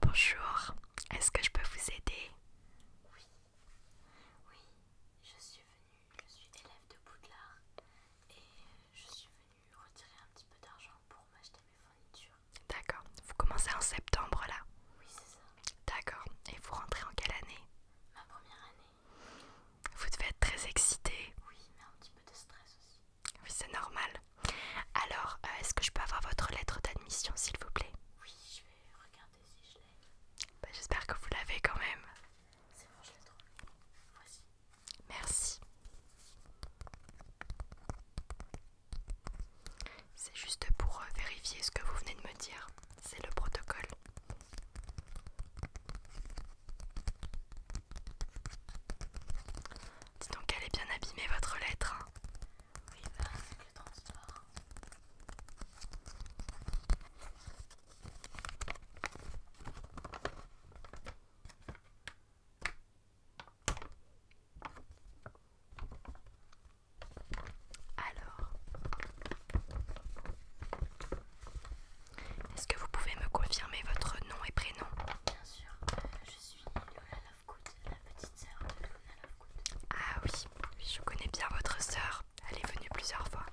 Bonjour, est-ce que je peux vous aider Oui, oui, je suis venue, je suis élève de Boudlard et je suis venue retirer un petit peu d'argent pour D'accord. Vous commencez en septembre là Oui, c'est ça. D'accord. Et vous rentrez en quelle année Ma première année. Vous devez être très excitée. Oui, mais un petit peu de stress aussi. Oui, c'est normal. Alors, euh, est-ce que je peux avoir votre lettre d'admission, s'il vous plaît Oui, je vais regarder si je l'ai. Bah, j'espère que vous l'avez quand même. C'est bon, je l'ai trouvée. Voici. Merci. C'est juste pour euh, vérifier ce que vous venez de me dire. C'est le protocole. Dis donc, elle est bien abîmée votre lettre. Hein. oui, bah, le transport. Alors, est-ce que vous pouvez me confirmer votre nom et prénom Bien sûr, euh, je suis Lola Lovegood, la petite sœur de Luna Lovegood. Ah oui, je connais bien votre sœur, elle est venue plusieurs fois.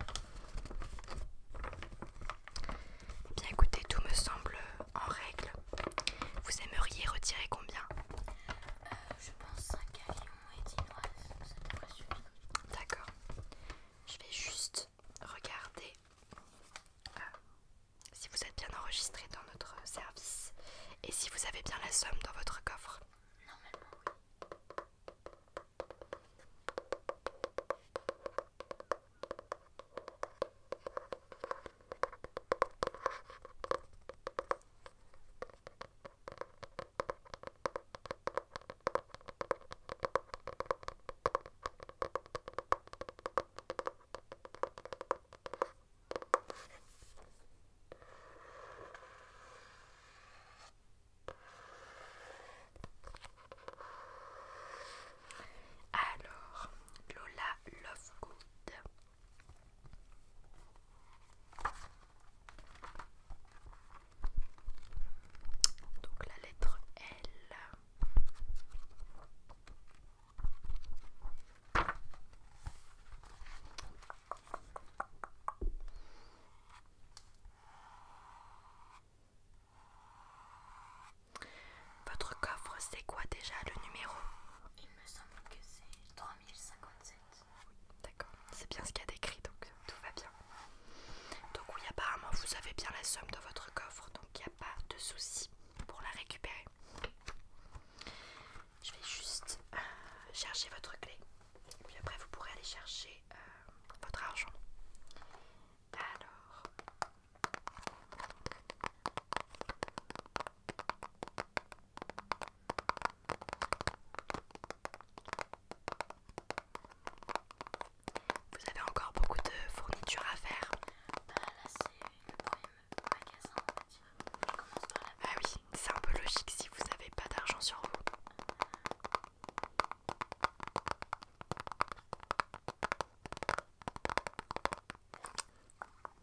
Bien écoutez, tout me semble en règle. Vous aimeriez retirer combien euh, je pense 5 à et 10 noix, ça devrait suffire. D'accord. Je vais juste regarder euh, si vous êtes bien enregistré dans notre service et si vous avez bien la somme dans votre coffre. Normalement, oui. Alors, Lola Lovegood donc la lettre L. Votre coffre, c'est quoi déjà le numéro Il me semble que c'est oui, D'accord, c'est bien ce qu'il y a décrit, donc euh, tout va bien. Donc oui, apparemment, vous avez bien la somme dans votre coffre, donc il n'y a pas de souci pour la récupérer. Je vais juste euh, chercher votre clé, puis après vous pourrez aller chercher euh, votre argent. Alors... Vous avez encore beaucoup de fournitures à faire. Ah, là c'est Ah oui, c'est un peu logique si vous n'avez pas d'argent sur vous. Et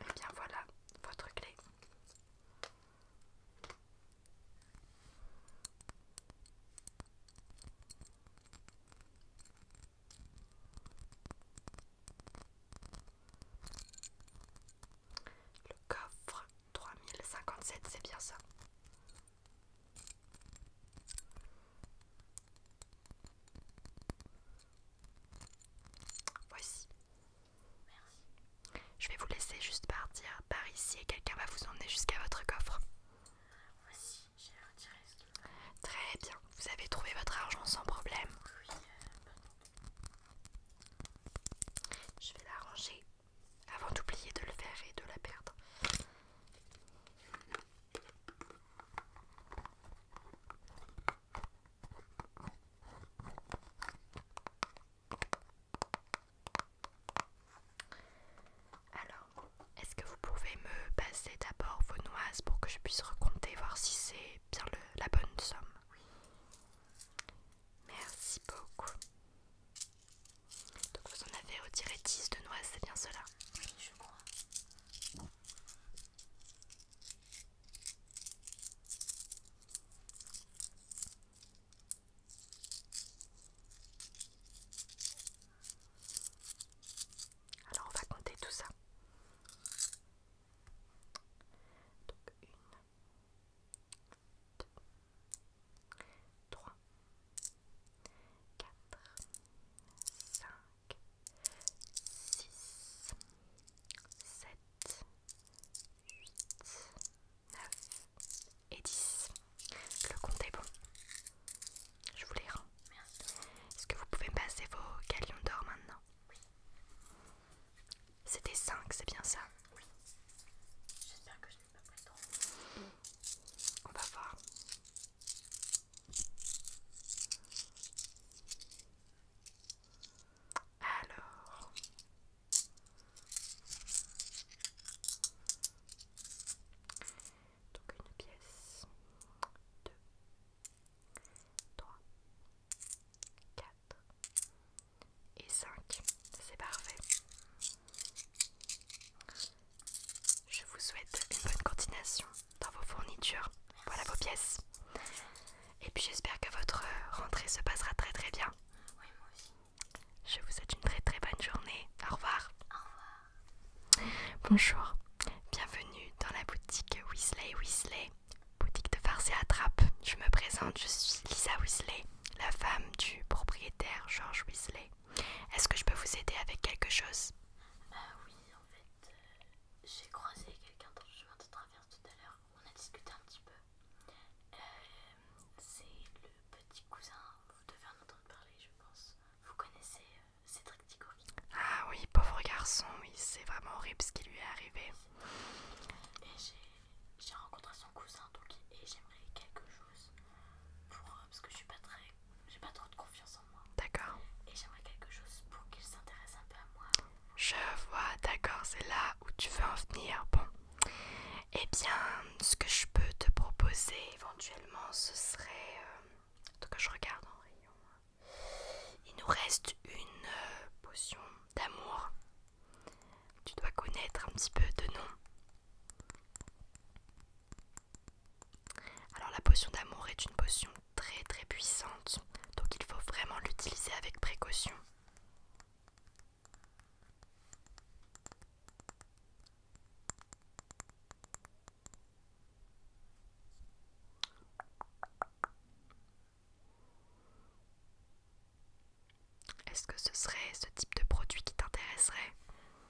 eh bien voilà votre clé. Le coffre 3057, c'est bien ça. Voici. Merci. Je vais vous laisser juste partir par ici et quelqu'un va vous emmener jusqu'à votre coffre. Voici, j'ai retiré ce Très bien, vous avez trouvé votre argent sans problème. Oui, Je vais l'arranger avant d'oublier de le faire et de la perdre. Alors, est-ce que vous pouvez me passer d'abord vos noises pour que je puisse recompter, voir si c'est bien la bonne somme Merci beaucoup. Donc vous en avez retiré 10 de noises, c'est bien cela Oui, je crois. Alors on va compter tout ça. Donc une, deux, trois, quatre, cinq, 6, 7, 8, 9 et 10. Le compte est bon. Je vous les rends. Est-ce que vous pouvez passer vos galions d'or maintenant Oui. C'était 5, c'est bien ça Oui. J'espère que je n'ai pas pris trop. On va voir. Alors. Donc une pièce. Deux. Trois. Quatre. Et cinq. C'est parfait. Je vous souhaite une bonne continuation dans vos fournitures. Voilà vos pièces. Et puis j'espère que votre euh, rentrée se passera très très bien. Oui, moi aussi. Je vous souhaite une très très bonne journée. Au revoir. Au revoir. Bonjour. Bienvenue dans la boutique Weasley Weasley. Boutique de farce et attrape. Je me présente, je suis Lisa Weasley, la femme du propriétaire George Weasley. Est-ce que je peux vous aider avec quelque chose Bah Oui, en fait, euh, j'ai croisé quelqu'un dans le chemin de traverse tout à l'heure on a discuté un petit peu. Euh, c'est le petit cousin, vous devez en entendre parler, je pense. Vous connaissez euh, Cédric Ah oui, pauvre garçon, c'est vraiment horrible ce qui lui est arrivé. Et j'ai rencontré son cousin, donc et j'aimerais quelque chose pour euh, parce que je suis pas très, j'ai pas trop de confiance en moi. D'accord. Et j'aimerais quelque chose pour qu'il s'intéresse un peu à moi. Je vois, d'accord, c'est là où tu veux en venir. Bon, eh bien, ce que je peux te proposer éventuellement, ce serait. Euh, en tout je regarde en hein. Il nous reste une euh, potion d'amour. Tu dois connaître un petit peu de nom. Alors, la potion d'amour est une potion très très puissante, donc il faut vraiment l'utiliser avec précaution. Est-ce que ce serait ce type de produit qui t'intéresserait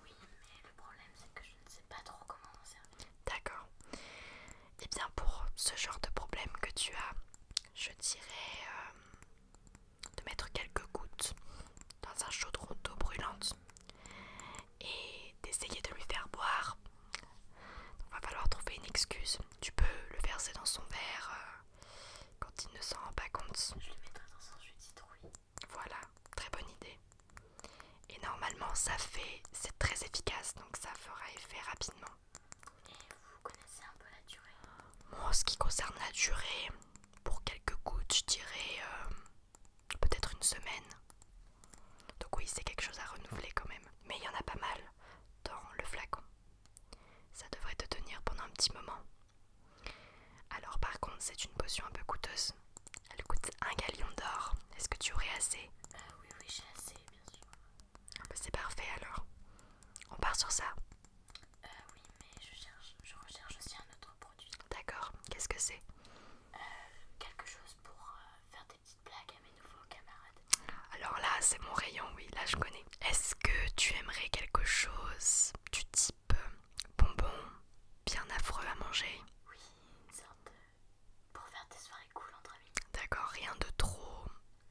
Oui, mais le problème c'est que je ne sais pas trop comment en servir. D'accord. Et eh bien pour ce genre de problème que tu as, je dirais euh, de mettre quelques gouttes dans un chaudron d'eau brûlante et d'essayer de lui faire boire. Il va falloir trouver une excuse. Tu peux le verser dans son verre euh, quand il ne s'en rend pas compte. Je le mettrai dans un jus de Voilà, très bonne idée. Et normalement ça fait, c'est très efficace, donc ça fera effet rapidement. Et vous connaissez un peu la durée Moi, en ce qui concerne la durée, pour quelques gouttes, je dirais euh, peut-être une semaine. Donc oui, c'est quelque chose à renouveler quand même. Mais il y en a pas mal dans le flacon. Ça devrait te tenir pendant un petit moment. Alors par contre, c'est une potion un peu coûteuse. Elle coûte un galion d'or. Est-ce que tu aurais assez euh, Oui, oui, j'ai assez, bien sûr. Ah bah, c'est parfait alors. On part sur ça. Euh, oui, mais je, cherche, recherche aussi un autre produit. D'accord, qu'est-ce que c'est euh, Quelque chose pour euh, faire des petites blagues à mes nouveaux camarades. Alors là, c'est mon rayon, oui, là je connais. Est-ce que tu aimerais quelque chose du type bonbon, bien affreux à manger Oui, une sorte pour faire des soirées cool entre amis. D'accord, rien de trop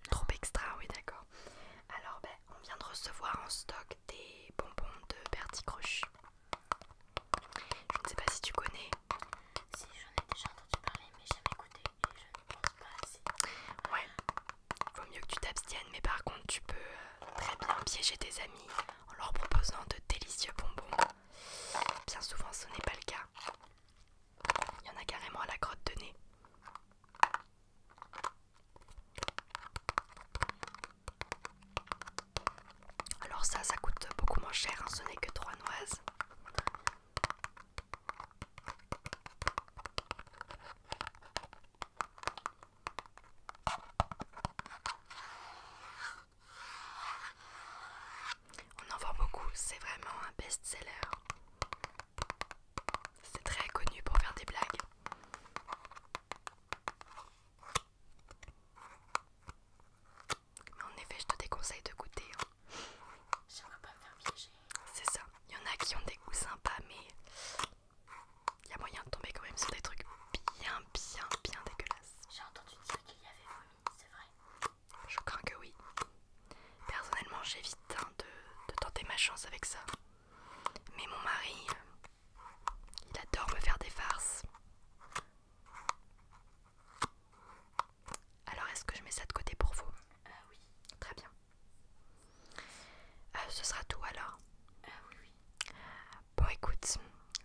Trop extra, oui d'accord. Alors ben, on vient de recevoir en stock des bonbons de Bertie Croch Je ne sais pas si tu connais. Si j'en ai déjà entendu parler mais jamais écouté et je ne pense pas Ouais. Vaut mieux que tu t'abstiennes mais par contre tu peux euh, très bien piéger tes amis en leur proposant de délicieux bonbons. Bien souvent ce n'est pas le cas. Il y en a carrément à la grotte de nez. Alors ça, ça coûte beaucoup moins cher, hein. ce n'est que trois noises. On en voit beaucoup, c'est vraiment un best-seller. C'est très connu pour faire des blagues. Mais en effet, je te déconseille de goûter. Hein. pas me faire piéger. C'est ça. Il y en a qui ont des goûts sympas, mais il y a moyen de tomber quand même sur des trucs bien, bien, bien dégueulasses. J'ai entendu dire qu'il y avait vomi, c'est vrai. Je crains que oui. Personnellement, j'évite hein, de, tenter ma chance avec ça. Mais mon mari, euh, il adore me faire des farces. Alors, est-ce que je mets ça de côté pour vous euh, oui. Très bien. Euh, ce sera tout alors euh, oui, Bon, écoute,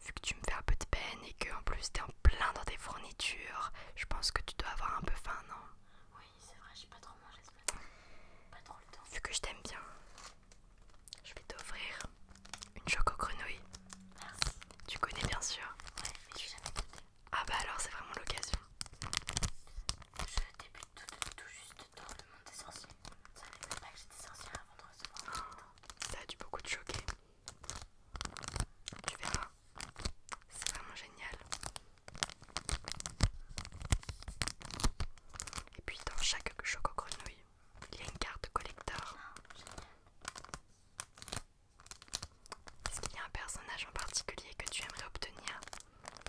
vu que tu me fais un peu de peine et que en plus t'es en plein dans tes fournitures, je pense que tu dois avoir un peu faim, non Oui oui, c'est vrai, j'ai pas trop mangé ce matin. Pas trop le temps. Vu que je t'aime bien, je vais t'offrir une choco grenouille. Merci. Tu connais bien sûr. Ouais, mais j'ai jamais goûté. Ah bah alors c'est vraiment l'occasion. Je débute tout, tout juste dans le monde des sorciers. Ça fait même pas que j'étais sorcière avant de recevoir. Oh, ça a dû beaucoup te choquer. Tu verras. C'est vraiment génial. Et puis dans chaque choco grenouille, il y a une carte collector. Ah, Est-ce qu'il y a un personnage en particulier que tu aimerais obtenir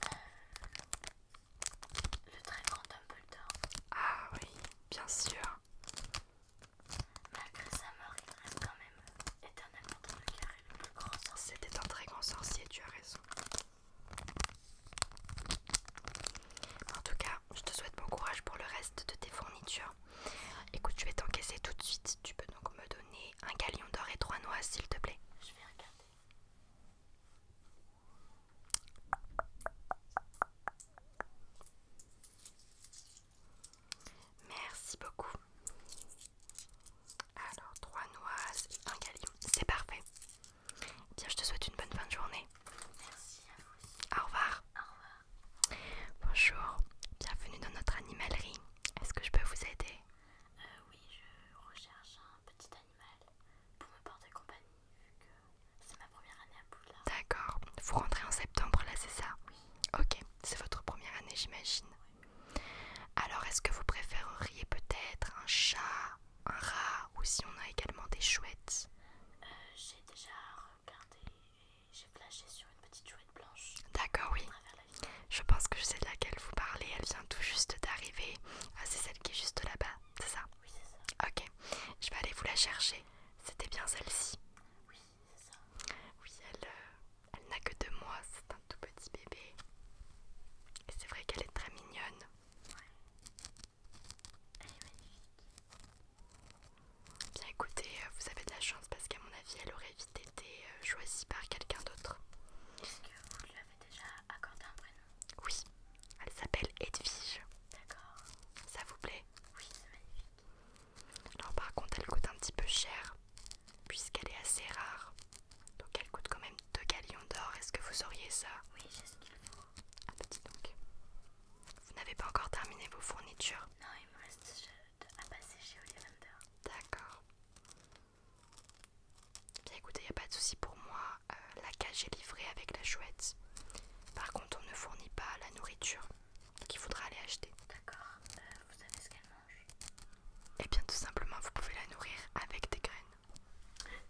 euh, Le très grand Dumbledore. Ah oui, bien sûr. Malgré sa mort, il reste quand même éternellement dans le c'était un très grand sorcier, tu as raison. En tout cas, je te souhaite bon courage pour le reste de tes fournitures. Écoute, je vais t'encaisser tout de suite. Tu peux donc me donner un galion d'or et trois noix, s'il te plaît. Je vais regarder. Merci beaucoup. Alors, trois noises et un galion. C'est parfait. Bien, je te souhaite une bonne fin de journée. Merci à vous aussi. Au revoir. Au revoir. Bonjour, bienvenue dans notre animalerie. Est-ce que je peux vous aider euh, Oui, je recherche un petit animal pour me porter compagnie vu que c'est ma première année à Poudlard. D'accord. Vous rentrez en septembre là, c'est ça Oui. Ok, c'est votre première année, j'imagine. Oui. Alors est-ce que vous préféreriez peut-être un chat, un rat ou si on a également des chouettes euh, J'ai déjà regardé j'ai flashé sur une petite chouette blanche. D'accord, oui. Je pense que je sais de laquelle vous parlez. Elle vient tout juste d'arriver. Ah, c'est celle qui est juste là-bas, c'est ça Oui, c'est ça. Ok, je vais aller vous la chercher. C'était bien celle-ci. Oui, c'est ça. Oui, elle, euh, elle n'a que deux mois, c'est un tout petit bébé. Et c'est vrai qu'elle est très mignonne. Ouais. Elle est magnifique. Bien écoutez, euh, vous avez de la chance parce qu'à mon avis, elle aurait vite été euh, choisie par quelqu'un d'autre. Est-ce que vous lui avez déjà accordé un prénom Oui, elle s'appelle Edwige. D'accord. Ça vous plaît Oui, c'est magnifique. Alors par contre, elle coûte un petit peu cher puisqu'elle est assez rare. Donc elle coûte quand même 2 galions d'or. Est-ce que vous auriez ça Oui, j'ai ce qu'il faut. Un ah, petit bah, donc. Vous n'avez pas encore terminé vos fournitures Non, il me reste à passer chez Oliver. D'accord. Bien écoutez, il n'y a pas de souci pour moi. Euh, la cage est livrée avec la chouette. Par contre, on ne fournit pas la nourriture. qu'il faudra aller acheter. D'accord. Euh, vous savez ce qu'elle et eh bien tout simplement vous pouvez la nourrir avec des graines.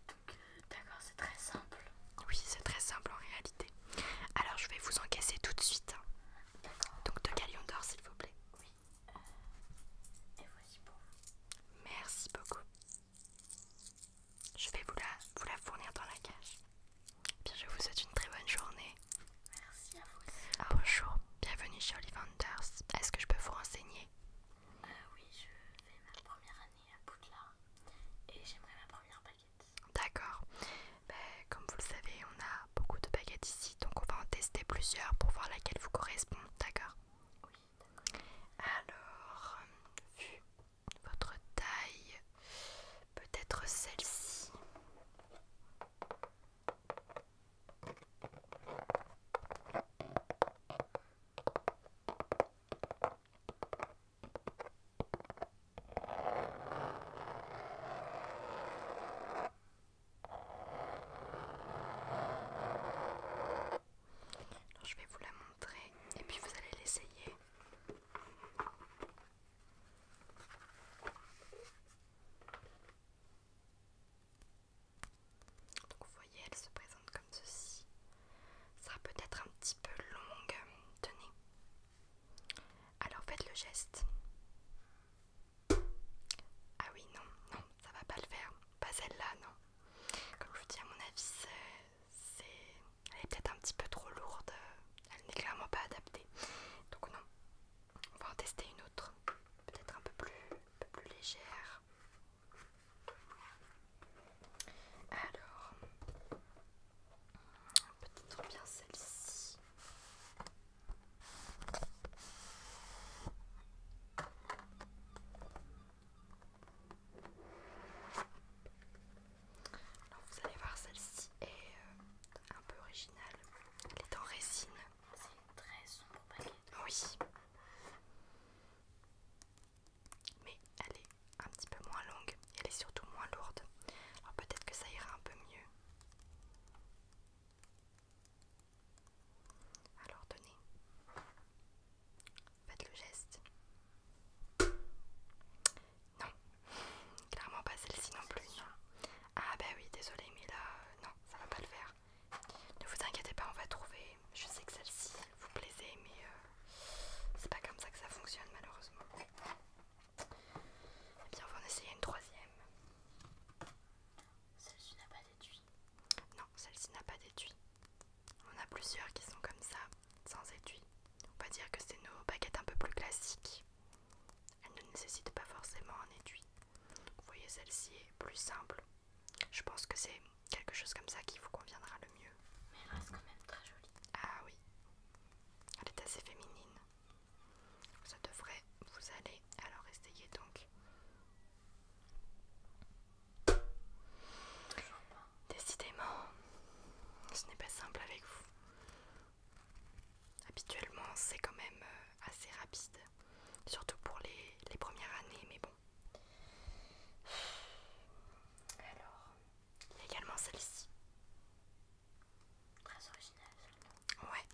Donc d'accord c'est très simple. Oui c'est très simple en réalité. Alors je vais vous encaisser tout de suite. Hein. Donc deux galions d'or s'il vous plaît. Oui. Euh, et voici pour vous. Merci beaucoup. Je vais vous la, vous la fournir dans la cage. Bien, je vous souhaite une très bonne journée. Merci à vous aussi. bonjour, bienvenue chez Olivanders. Est-ce que je peux vous renseigner euh, oui, je fais ma première année à Poudlard et j'aimerais ma première baguette. D'accord. Ben, comme vous le savez, on a beaucoup de baguettes ici, donc on va en tester plusieurs pour voir laquelle vous correspond. D'accord Oui, d'accord. Alors, vu votre taille, peut-être celle-ci je vais vous la montrer et puis vous allez l'essayer. Donc vous voyez, elle se présente comme ceci. Ça sera peut-être un petit peu longue. Tenez. Alors faites le geste. Ah oui, non, non, ça va pas le faire. Pas celle-là, non. Comme je vous dis, à mon avis, c'est... Elle est peut-être un petit peu trop lourde. Elle n'est clairement pas adaptée. Donc non. On va en tester une autre. Peut-être un peu plus, un peu plus légère. Alors, peut-être bien celle-ci. vous allez voir, celle-ci est euh, un peu originale. Elle est en résine. C'est très sombre paquet. Oui mais elle est un petit peu moins longue et elle est surtout moins lourde. Alors peut-être que ça ira un peu mieux. Alors donnez. faites le geste. Non, clairement pas celle-ci non plus. Ah bah oui, désolé, mais là, euh, non, ça va pas le faire. Ne vous inquiétez pas, on va trouver. Je sais que celle-ci vous plaisait, mais euh, c'est pas comme ça que ça fonctionne malheureusement. Et eh bien, on va en essayer une troisième. Celle-ci n'a pas d'étui. Non, celle-ci n'a pas d'étui. On a plusieurs qui sont comme ça, sans étui. On va dire que c'est nos baguettes un peu plus classiques. Elles ne nécessitent pas forcément un étui. Vous voyez, celle-ci est plus simple. Je pense que c'est quelque chose comme ça qui vous conviendra le mieux. Mais elle reste quand même très jolie. Ah oui, elle est assez féminine. Ça devrait vous aller. Alors essayez donc. Décidément, ce n'est pas simple avec vous. Habituellement, c'est quand même euh, assez rapide, surtout pour les, les premières années, mais bon, alors, il y a également celle-ci. Très originale celle-là. Ouais.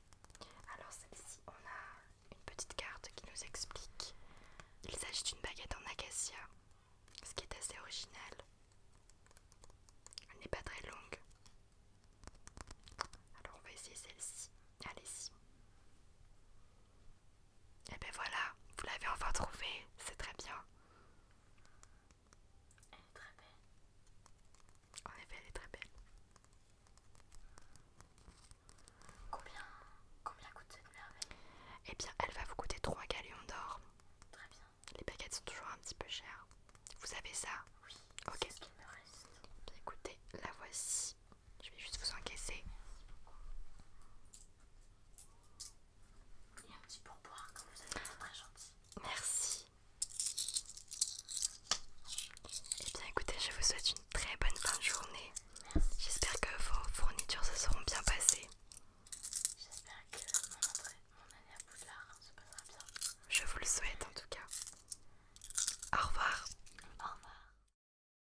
Alors celle-ci, on a une petite carte qui nous explique. Il s'agit d'une baguette en acacia, ce qui est assez original. Elle n'est pas très longue. Alors on va essayer celle-ci. Allez-y. Et eh ben voilà, vous l'avez enfin trouvée, c'est très bien. Elle est très belle. En effet, elle est très belle. Combien, combien coûte cette merveille Eh bien, elle va vous coûter 3 galions d'or. Très bien. Les baguettes sont toujours un petit peu chères Vous avez ça Oui. Ok. Ce me reste. écoutez, la voici. Je vais juste vous encaisser. Et un petit pourboire quand vous êtes très gentil. Merci. Eh bien écoutez, je vous souhaite une très bonne fin de journée. J'espère que vos fournitures se seront bien passées. J'espère que mon, entrée, mon année à Poudlard hein, se passera bien. Je vous le souhaite en tout cas. Au revoir. Au revoir.